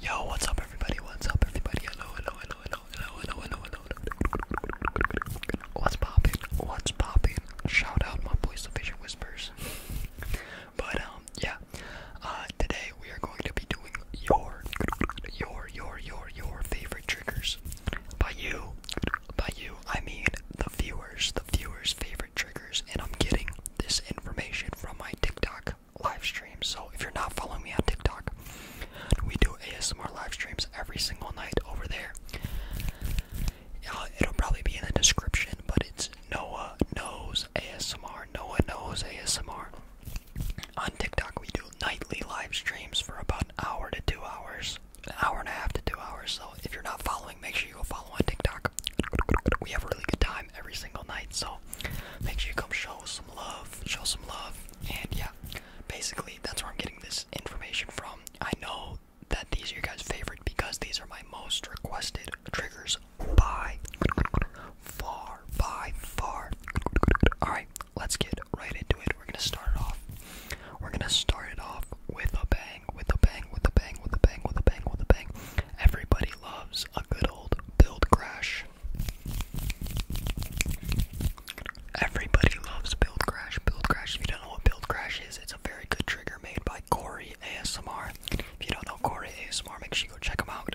Yo, what's up everybody? What's up everybody? Hello, hello, hello, hello, hello, hello, hello, hello. What's poppin'? What's poppin'? Shout out my boy vision Whispers. but um yeah, uh, today we are going to be doing your, your, your, your, your favorite triggers. By you, by you, I mean the viewers, the viewers' favorite triggers. And I'm getting this information from my TikTok live stream. So if you're not following me on TikTok, we do ASMR live streams every single night over there. Uh, it'll probably be in the description, but it's Noah knows ASMR. Noah knows ASMR. On TikTok, we do nightly live streams for about an hour to two hours, an hour and a half to two hours. So if you're not following, make sure you go follow on TikTok. We have a really good time every single night. So make sure you come show some love, show some love, and yeah, basically that's where I'm getting this information from. I know that these are your guys' favorite because these are my most requested triggers by far, by far. Alright, let's get right into it. We're gonna start it off. We're gonna start it off with a bang, with a bang, with a bang, with a bang, with a bang, with a bang. Everybody loves a good old build crash. Everybody loves build crash, build crash. If you don't know what build crash is, it's a very good trigger made by Corey ASMR. If you don't know Corey ASMR, make sure you go check him out.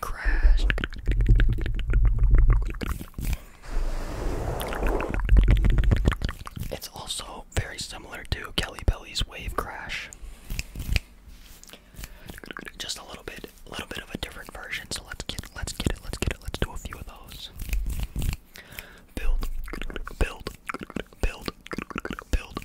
crashed, It's also very similar to Kelly Belly's Wave Crash. Just a little bit, a little bit of a different version. So let's get, let's get it, let's get it, let's do a few of those. Build, build, build, build,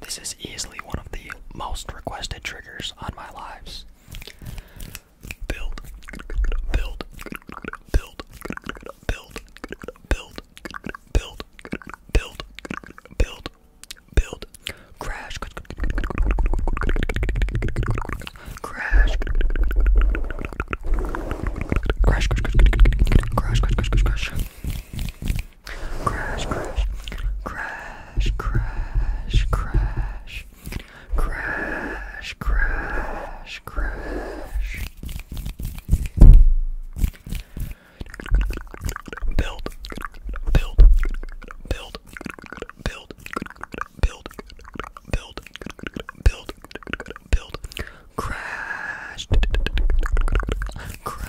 this is easily one of the most requested triggers on my lives. Build, build, build, build, build, build, build, build, build, crash, crash, crash, crash, crash, crash, crash, crash, crash, Crash, crash, crash, crash, crash, crash, crash, crash. Build, build, build, build, build, build, build, build, crash, crash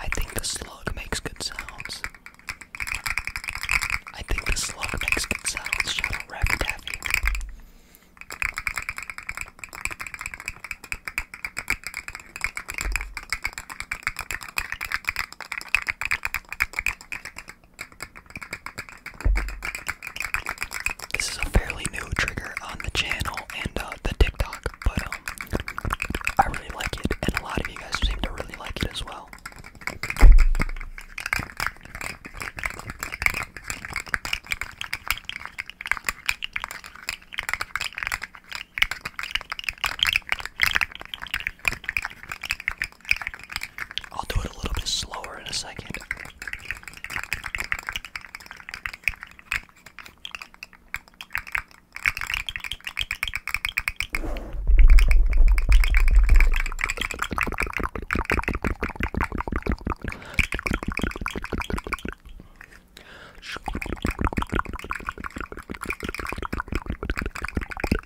I think the slug makes good sounds. I think the slug makes good sounds. Shout out Rabbit Taffy. This is a fairly new trigger on the channel and uh, the TikTok, but um, I really like it, and a lot of you guys seem to really like it as well. I'll do it a little bit slower in a second.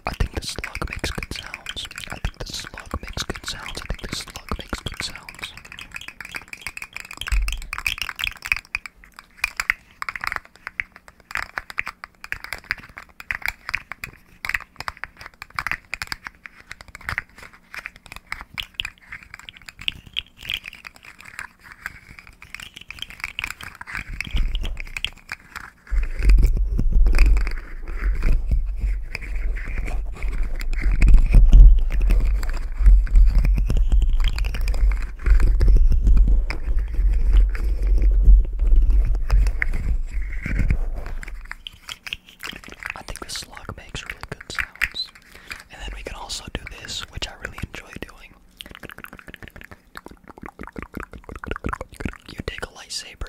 I think the slug makes good sounds. I think the slug slug makes good sounds. I think the slug makes good sounds. I think the slug makes really good sounds. And then we can also do this, which I really enjoy doing. You take a lightsaber.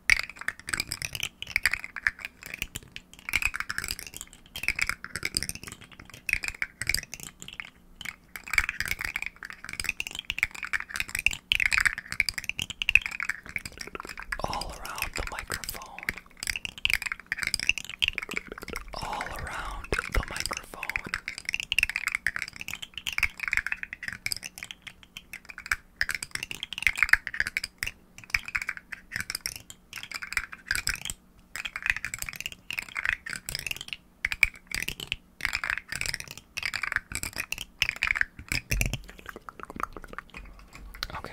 All around the microphone. All around the microphone. Okay.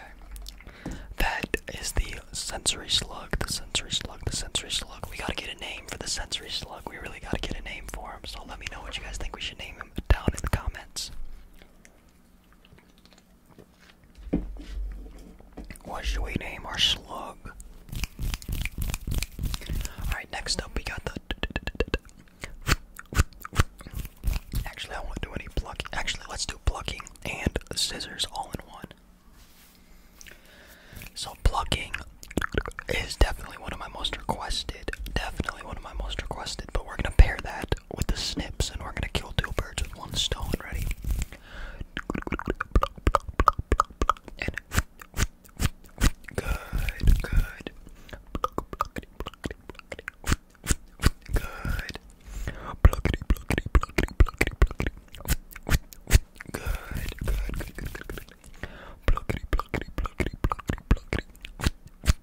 That is the sensory slug, the sensory slug, the sensory slug. We gotta get a name for the sensory slug. We really gotta get a name for him. So let me know what you guys think we should name him down in the comments. What should we name our slug? Alright, next up we got the. Actually, I won't do any plucking. Actually, let's do plucking and scissors all in one. So, plucking is definitely one of my most requested definitely one of my most requested, but we're gonna pair that with the snips and we're gonna kill two birds with one stone, ready? good, good. Good. Good,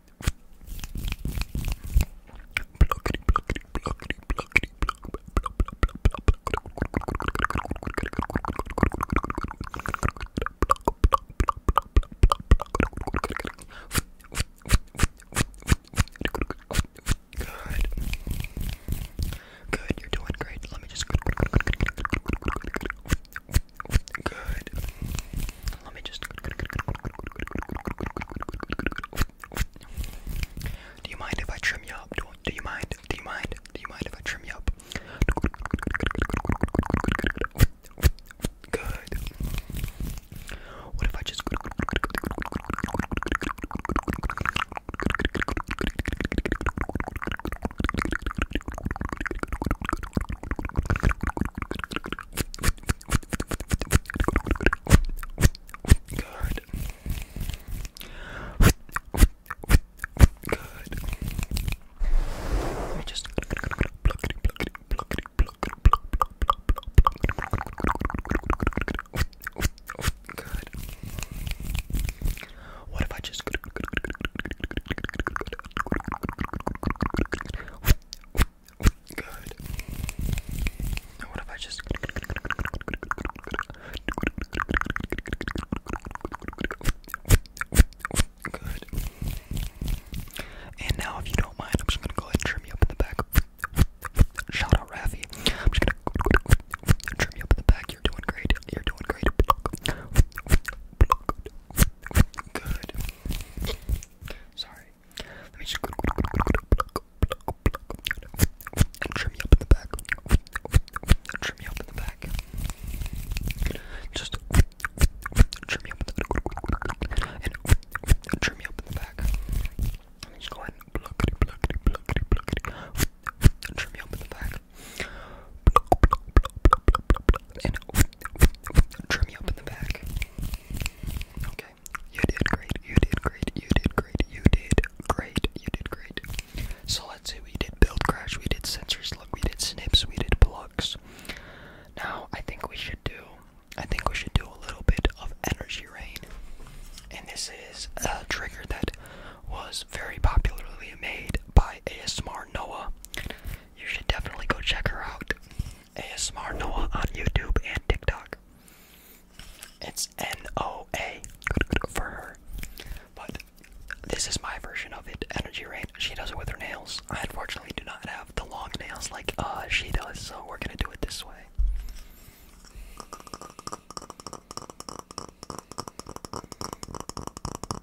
Good. Good, you're doing great. Let me just. Good, good, good, good, good, good, good, good, good, good, good, good, Good. Let me just. Do you mind if I trim you up? Do, you mind? Do you mind? Do you mind if I trim you up? Good. What if I just. Good. Good. Let me just pluck it, pluck it, pluck it, pluck it, pluck it, Good. What if I just good? Good. what if I just Good. And now if you don't mind, I'm just gonna go ahead and trim you up in the back. Shout out Rafi. I'm just gonna trim you up in the back. You're doing great. You're doing great. Good. Sorry. Let me just and trim you up in the back. And trim you up in the back. Just trim you up in the back. And trim you up in the back. Let me just go ahead and pluckity, pluckity, pluckity, pluckity. And trim you up in the back and trim you up in the back. Okay, you did great. You did great. You did great. You did great. You did great. So let's say we did build crash, we did sensors. Look. we did snips, we did plugs. Now I think we should do. I think we should do a little bit of energy rain. And this is a trigger that was very popularly made by ASMR Noah you should definitely go check her out. ASMR Noah on YouTube and TikTok. It's N O A for her. But this is my version of it, energy rain. She does it with her nails. I unfortunately do not have the long nails like uh she does, so we're gonna do it this way.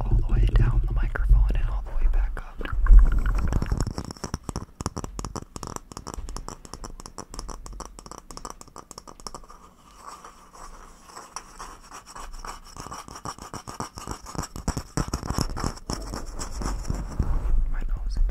All the way down the microphone and all the way back up. My nose itches.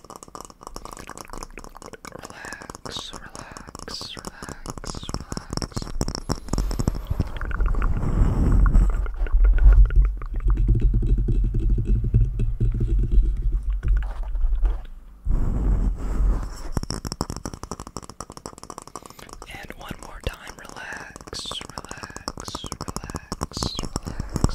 Relax, relax, relax, relax. And one more time, relax, relax, relax, relax, relax.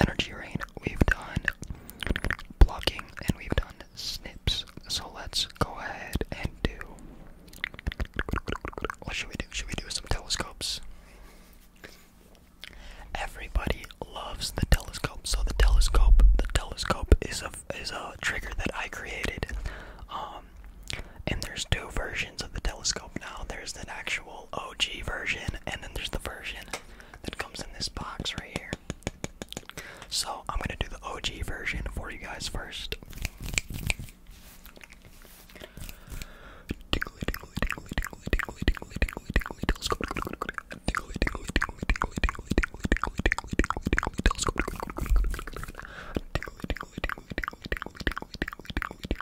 energy rain, we've done blocking, and we've done snips. So let's go ahead and do. What should we do? Should we do some telescopes? Everybody loves the telescope. So the telescope, the telescope is a is a trigger that I created. Um, and there's two versions of the telescope now. There's an actual OG version, and then there's the version that comes in this box right here. So I'm gonna do the OG version for you guys first.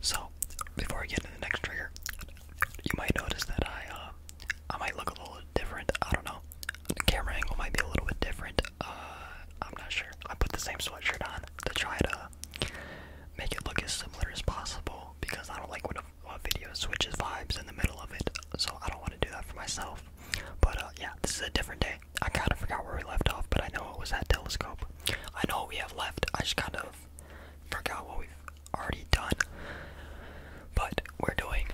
So, before I get into the next trigger, you might notice that I, uh, I might look a little different. I don't know. camera angle might be a little bit different. I'm not sure. I put the same sweatshirt on to try to make it look as similar as possible because I don't like when a, video switches vibes in the middle of it, so I don't want to do that for myself. But uh, yeah, this is a different day. I kind of forgot where we left off, but I know it was that telescope. I know what we have left. I just kind of forgot what we've already done. But we're doing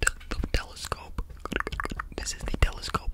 the telescope. This is the telescope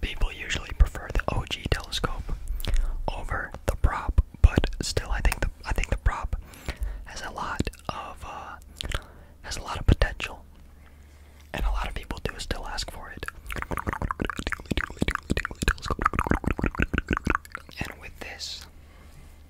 People usually prefer the OG telescope over the prop, but still, I think the I think the prop has a lot of uh, has a lot of potential, and a lot of people do still ask for it. And with this,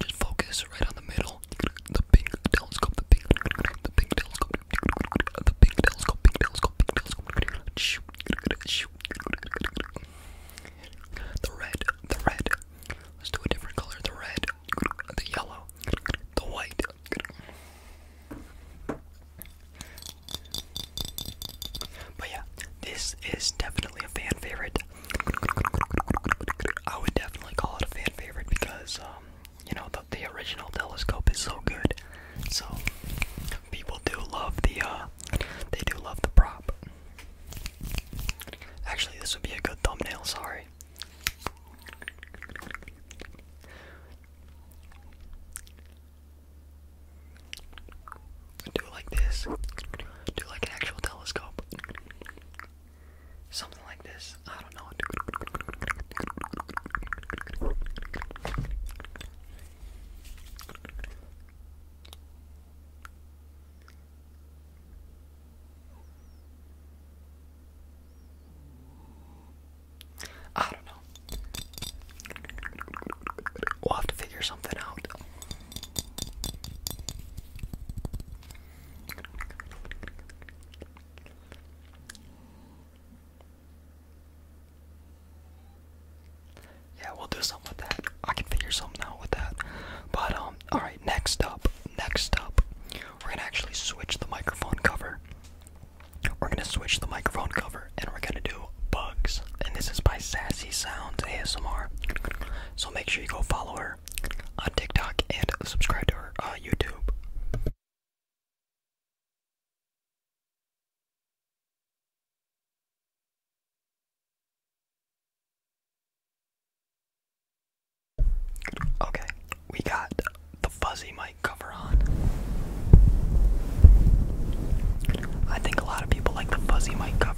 Just focus right on the middle. The pink telescope, the pink, the pink telescope, the pink telescope, pink telescope, pink telescope. The red, the red. Let's do a different color. The red, the yellow, the white. But yeah, this is definitely a fan favorite. I would definitely call it a fan favorite because, um, you know, the, original telescope is so good. So people do love the, uh, they do love the prop. Actually, this would be a good thumbnail. Sorry. Do like this. Do like an actual telescope. Something like this. I don't know. I don't know. We'll have to figure something out. Yeah, we'll do something with that. I can figure something out with that. But um, all right. Next up, next up, we're gonna actually switch the microphone cover. We're gonna switch the microphone cover, and we're gonna do bugs. And this is by Sassy Sounds ASMR. So make sure you go follow her on TikTok and subscribe to her uh, YouTube. Okay, we got the fuzzy mic cover on. I think a lot of people like the fuzzy mic cover.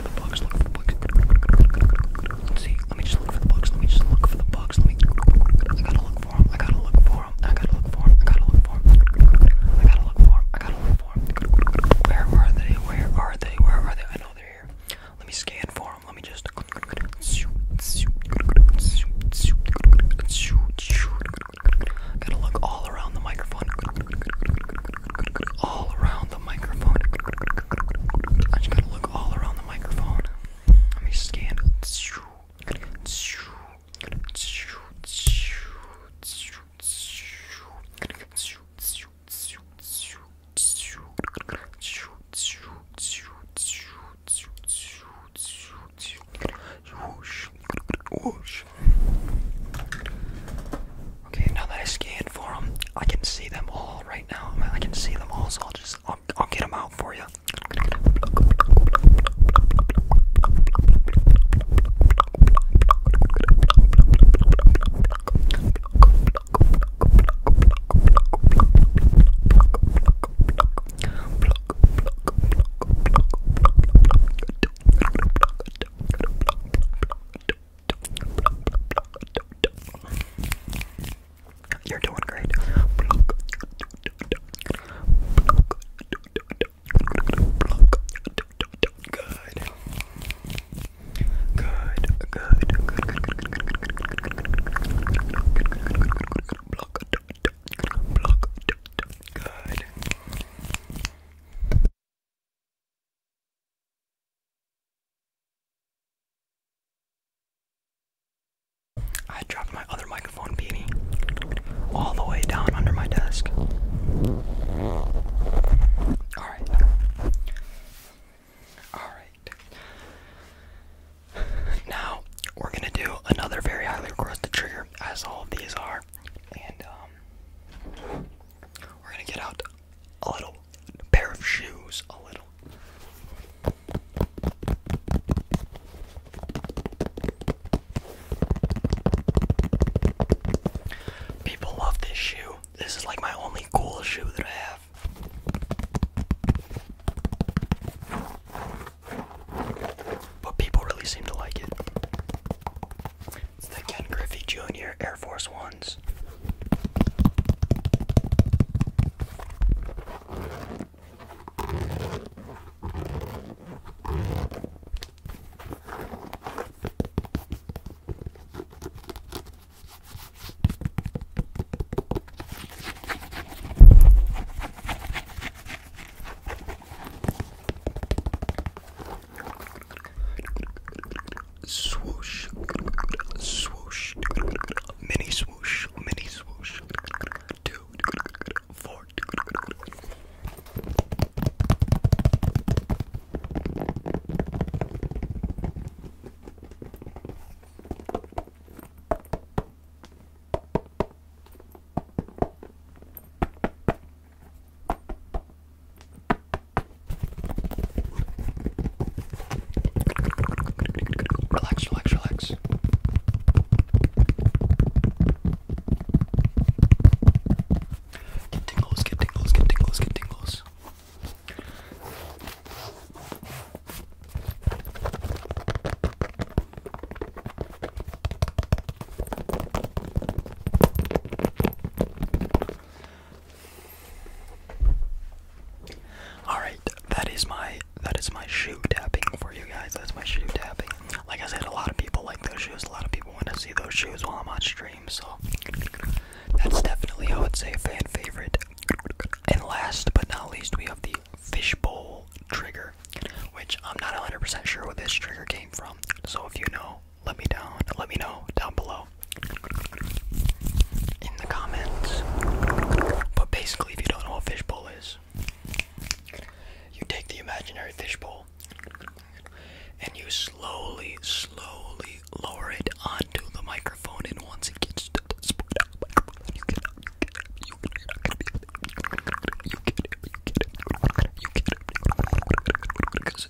for the box, look for the box. Let's see, let me just look for the box, let me just look for the box, let me. I gotta look for him, I gotta look for him, I gotta look for him, I gotta look for him, I gotta look for him, I gotta look for him. Where are they? Where are they? Where are they? I know they're here. Let me scan for him, let me just. Gotta look all around the microphone all around the microphone. I just gotta look all around the microphone. Let me scan. Okay, now that I scanned for them, I can see them all right now. I can see them all, so I'll just I'll, I'll get them out for you. You're doing great. Good. Good, good, good, good, good, good, good, good, good, good, good, good, I dropped my other microphone beanie all the way down under my desk. Alright. Alright. Now, we're gonna do another very highly requested trigger, as all these are. And, um, we're gonna get out a little pair of shoes, a little. People love this shoe. This is like my only cool shoe that I have. But people really seem to like it. It's the Ken Griffey Jr. Air Force Ones. Swoosh, swoosh, mini swoosh, mini swoosh. Two, four. Relax, relax, relax. Get tingles, get tingles, get tingles, get tingles. All right, that is my that is my shoe tapping for you guys. That's my shoe tapping. Like I said, a lot of people like those shoes. A lot of people want to see those shoes while I'm on stream. So that's definitely I would say a fan favorite. And last but not least, we have the fishbowl trigger, which I'm not 100% sure where this trigger came from. So if you know, let me down, let me know down below in the comments. But basically, if you don't know what fishbowl is, you take the imaginary fishbowl and you slowly, slowly lower it onto the microphone. And once it gets to the spot, you get up, you get it. you get up, you get up, you get up,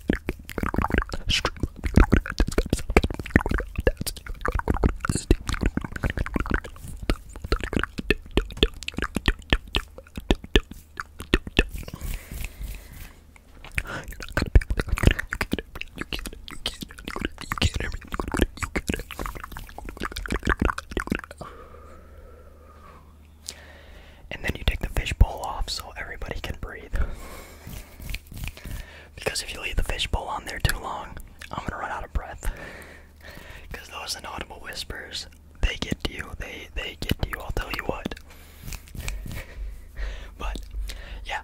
And then you take the fishbowl off so everybody can breathe. Because if you leave the fishbowl on there too long, I'm gonna run out of breath. Because those inaudible whispers, they get to you. They they get to you. I'll tell you what. but yeah,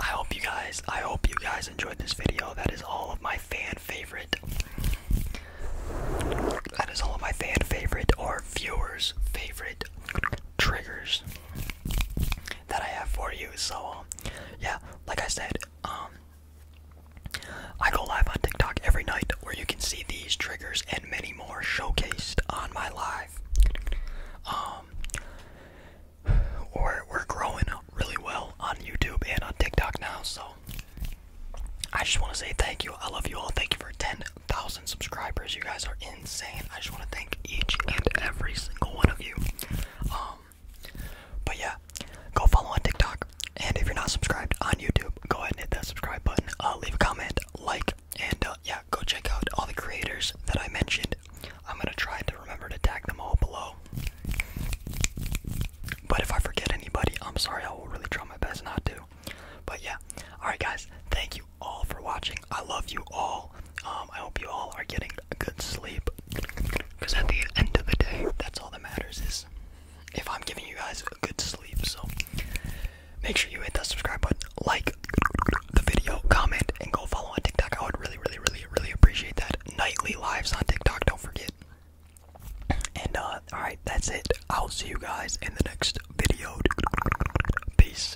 I hope you guys. I hope you guys enjoyed this video. That is all of my fan favorite. That is all of my fan favorite or viewers favorite triggers that I have for you. So um, yeah, like I said, um, I go live on TikTok every night where you can see these triggers and many more showcased on my live. or um, we're growing really well on YouTube and on TikTok now. So I just want to say thank you. I love you all. Thank you for ten thousand subscribers. You guys are in insane. I just want to thank each and every single one of you. Um, but yeah, go follow on TikTok, and if you're not subscribed on YouTube, go ahead and hit that subscribe button. Uh, leave a comment, like, and uh, yeah, go check out all the creators that I mentioned. I'm gonna try to remember to tag them all below. But if I forget anybody, I'm sorry. I will really try my best not to. But yeah, all right, guys. Thank you all for watching. I love you all. Um, I hope you all are getting a good sleep. Because at the end of the day, that's all that matters is if I'm giving you guys a good sleep. So make sure you hit that subscribe button, like the video, comment, and go follow on TikTok. I would really, really, really, really appreciate that. Nightly lives on TikTok, don't forget. And uh, alright, that's it. I'll see you guys in the next video. Peace.